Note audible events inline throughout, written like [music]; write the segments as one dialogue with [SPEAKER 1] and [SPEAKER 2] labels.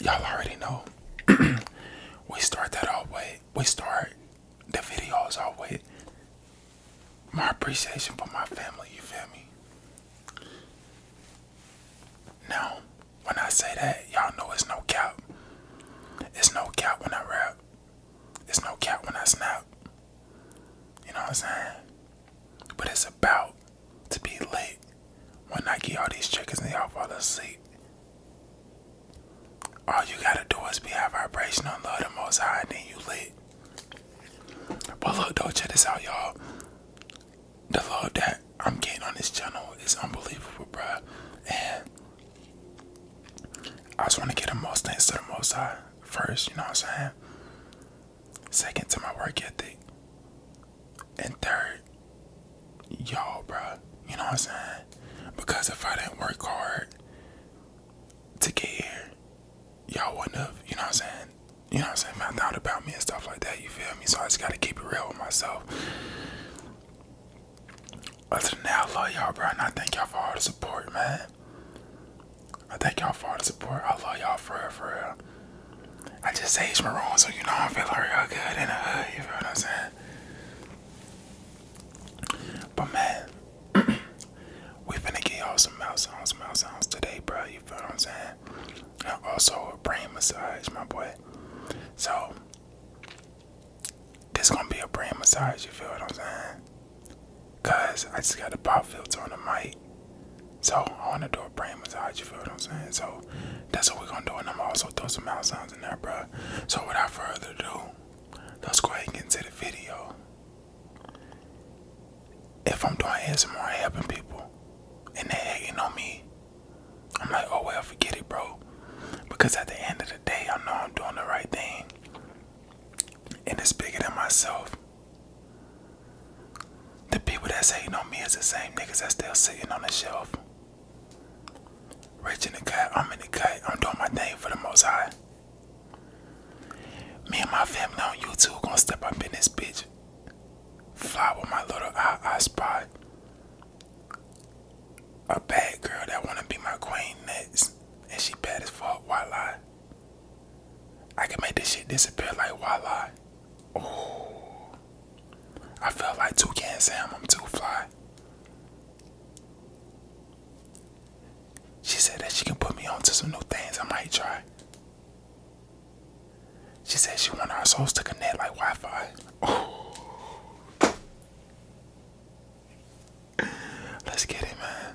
[SPEAKER 1] y'all already know [clears throat] we start that all with we start the videos all with my appreciation for my family, you feel me? Now, when I say that, y'all know it's no cap. It's no cap when I rap. It's no cap when I snap. You know what I'm saying? But it's about to be late when I get all these chickens and y'all fall asleep. All you gotta do is be high vibrational love the most high and then you lit. But look though, check this out y'all. The love that I'm getting on this channel is unbelievable, bruh. And I just wanna get the most things to the most high first, you know what I'm saying? Second to my work ethic. And third, y'all, bruh. You know what I'm saying? Because if I didn't work hard to get here, y'all wouldn't have, you know what I'm saying? You know what I'm saying? Found out about me and stuff like that, you feel me? So I just gotta keep it real with myself. Other than that, I love y'all, bro. And I thank y'all for all the support, man. I thank y'all for all the support. I love y'all for real, for real. I just aged maroon, so you know I'm feeling real good in the hood. You feel what I'm saying? But man, [clears throat] we finna get y'all some mouth sounds, some mouth sounds today, bro. You feel what I'm saying? And also a brain massage, my boy. So this gonna be a brain massage. You feel what I'm saying? Cause I just got a pop filter on the mic. So I want to do a brain massage. You feel what I'm saying? So that's what we're gonna do, and I'm also throw some mouth sounds in there, bro. So without further ado, let's go ahead and get into the video. If I'm doing ASMR, I'm helping people, and they hating on me, I'm like, oh well, forget it, bro. Because at the end of the day, I know I'm doing the right thing, and it's bigger than myself. The people that's hating on me is the same niggas that's still sitting on the shelf. Rich in the cut, I'm in the cut, I'm doing my thing for the most high. Me and my family on YouTube gonna step up in this bitch. Fly with my little eye, eye spot. A bad girl that wanna be my queen next. And she bad as fuck, why lie? I can make this shit disappear like wildlife. Oh, I feel like Toucan Sam. I'm too fly. She said that she can put me on to some new things I might try. She said she wanted our souls to connect like Wi-Fi. Oh. Let's get it, man.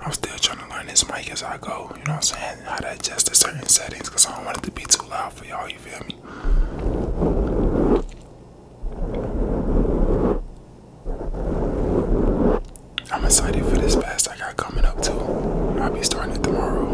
[SPEAKER 1] I'm still trying to learn this mic as I go, you know what I'm saying? How to adjust the certain settings because I don't want it to be too loud for y'all, you feel me? I'm excited for this fast I got coming up too. I'll be starting it tomorrow.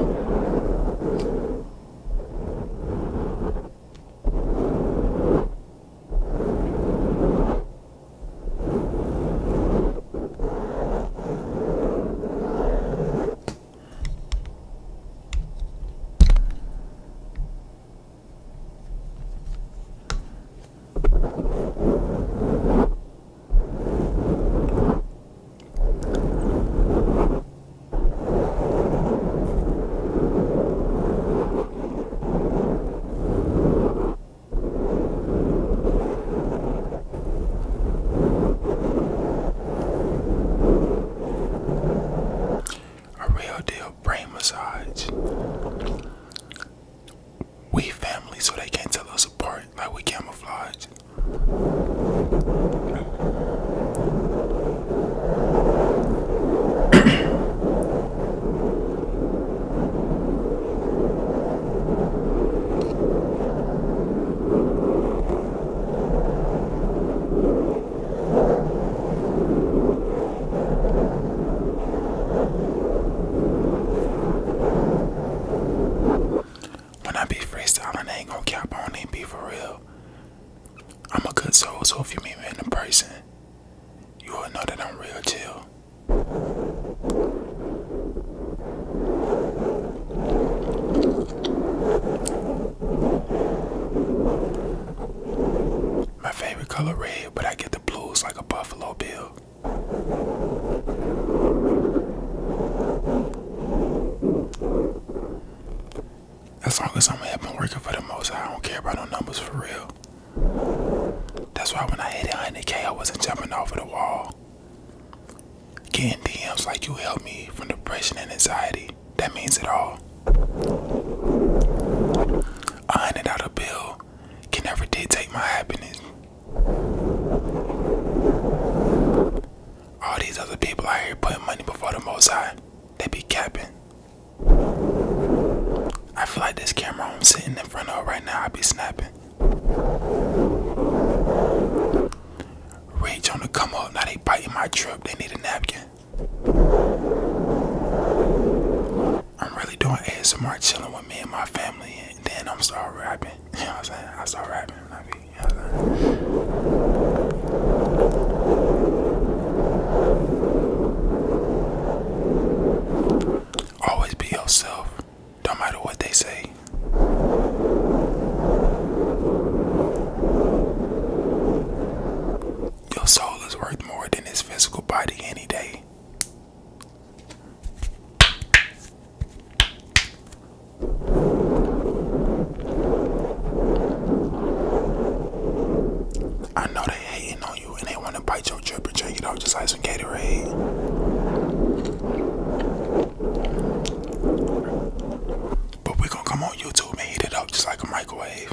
[SPEAKER 1] A real deal brain massage. We family, so they can't tell us apart like we camouflage. When I be freestyling, ain't gonna cap on and be for real. I'm a good soul, so if you meet me in person, you will know that I'm real chill. My favorite color red, but I get the blues like a buffalo bill. As long as I'm happy working for the most, I don't care about no numbers for real. That's why when I hit 100k, I wasn't jumping off of the wall. Getting DMs like you helped me from depression and anxiety. That means it all. A hundred dollar bill can never dictate my happiness. All these other people out here putting money before the most high, they be capping. I feel like this camera I'm sitting in front of right now, I be snapping. Rage on the come up. Now they biting my trip. They need a napkin. I'm really doing ASMR chilling with me and my family, and then I'm start rapping. [laughs] You know what I'm saying? I start rapping. I be, Always be yourself, no matter what they say. Your soul is worth more than his physical body any day. I know they hating on you and they want to bite your drip and drink it off just like some Gatorade. But we're gonna come on YouTube and heat it up just like a microwave.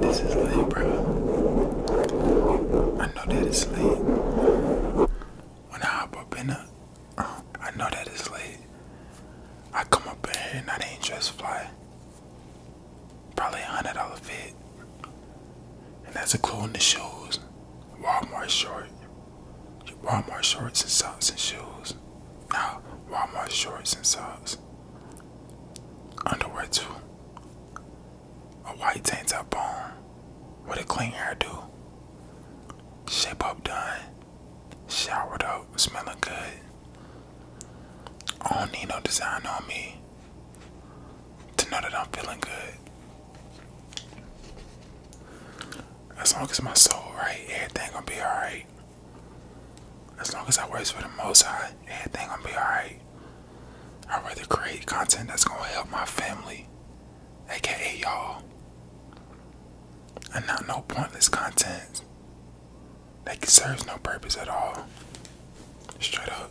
[SPEAKER 1] This is late, bro. I know that it's late. When I hop up in the, I know that it's late. I come up here and I ain't just fly. Probably a hundred dollar fit. And that's a in the shoes. Walmart shorts, Walmart shorts and socks and shoes. Now Walmart shorts and socks. Underwear too. A white tank top on. With a clean hairdo. Shape up done. Showered up, smelling good. I don't need no design on me to know that I'm feeling good. As long as my soul right, everything gonna be alright. As long as I work for the most high, everything gonna be alright. i rather create content that's gonna help my family, aka y'all. And not no pointless content that serves no purpose at all. Straight up.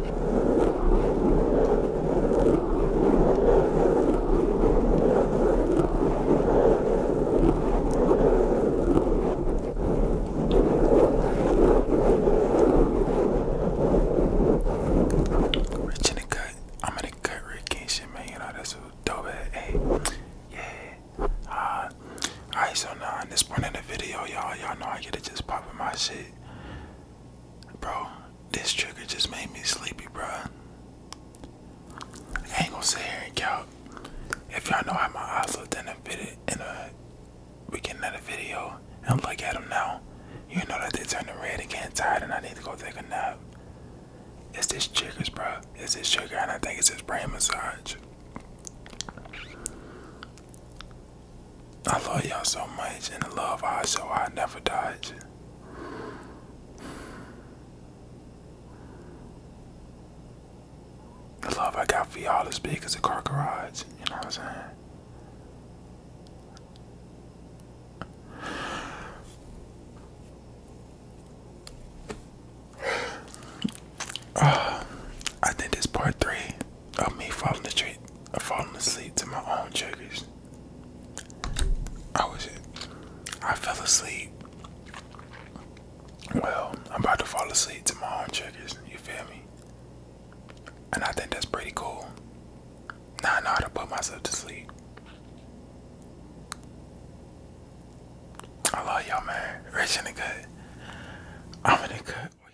[SPEAKER 1] Rich in the cut. I'm in the cut, Rick and shit, man. You know, that's a dope ass. Hey, yeah. Uh, Alright, so now in this point in the video, y'all, y'all know I get to just popping my shit. Bro, this trigger just made me sleepy, bro. ain't gonna sit here and count. If y'all know how my eyes then i a video, in a weekend at a video, and look at them now, you know that they turn red and can tired, and I need to go take a nap. It's this triggers, bro? It's this trigger, and I think it's this brain massage. I love y'all so much, and the love I show I never dodge. The love I got for y'all is big as a car garage. You know what I'm saying? [sighs] I think it's part three. I'm me falling, treat, falling asleep to my own triggers. I was, I fell asleep. Well, I'm about to fall asleep to my own triggers. You feel me? And I think that's pretty cool. Now I know how to put myself to sleep. I love y'all, man. Rich in the good. I'm in the good.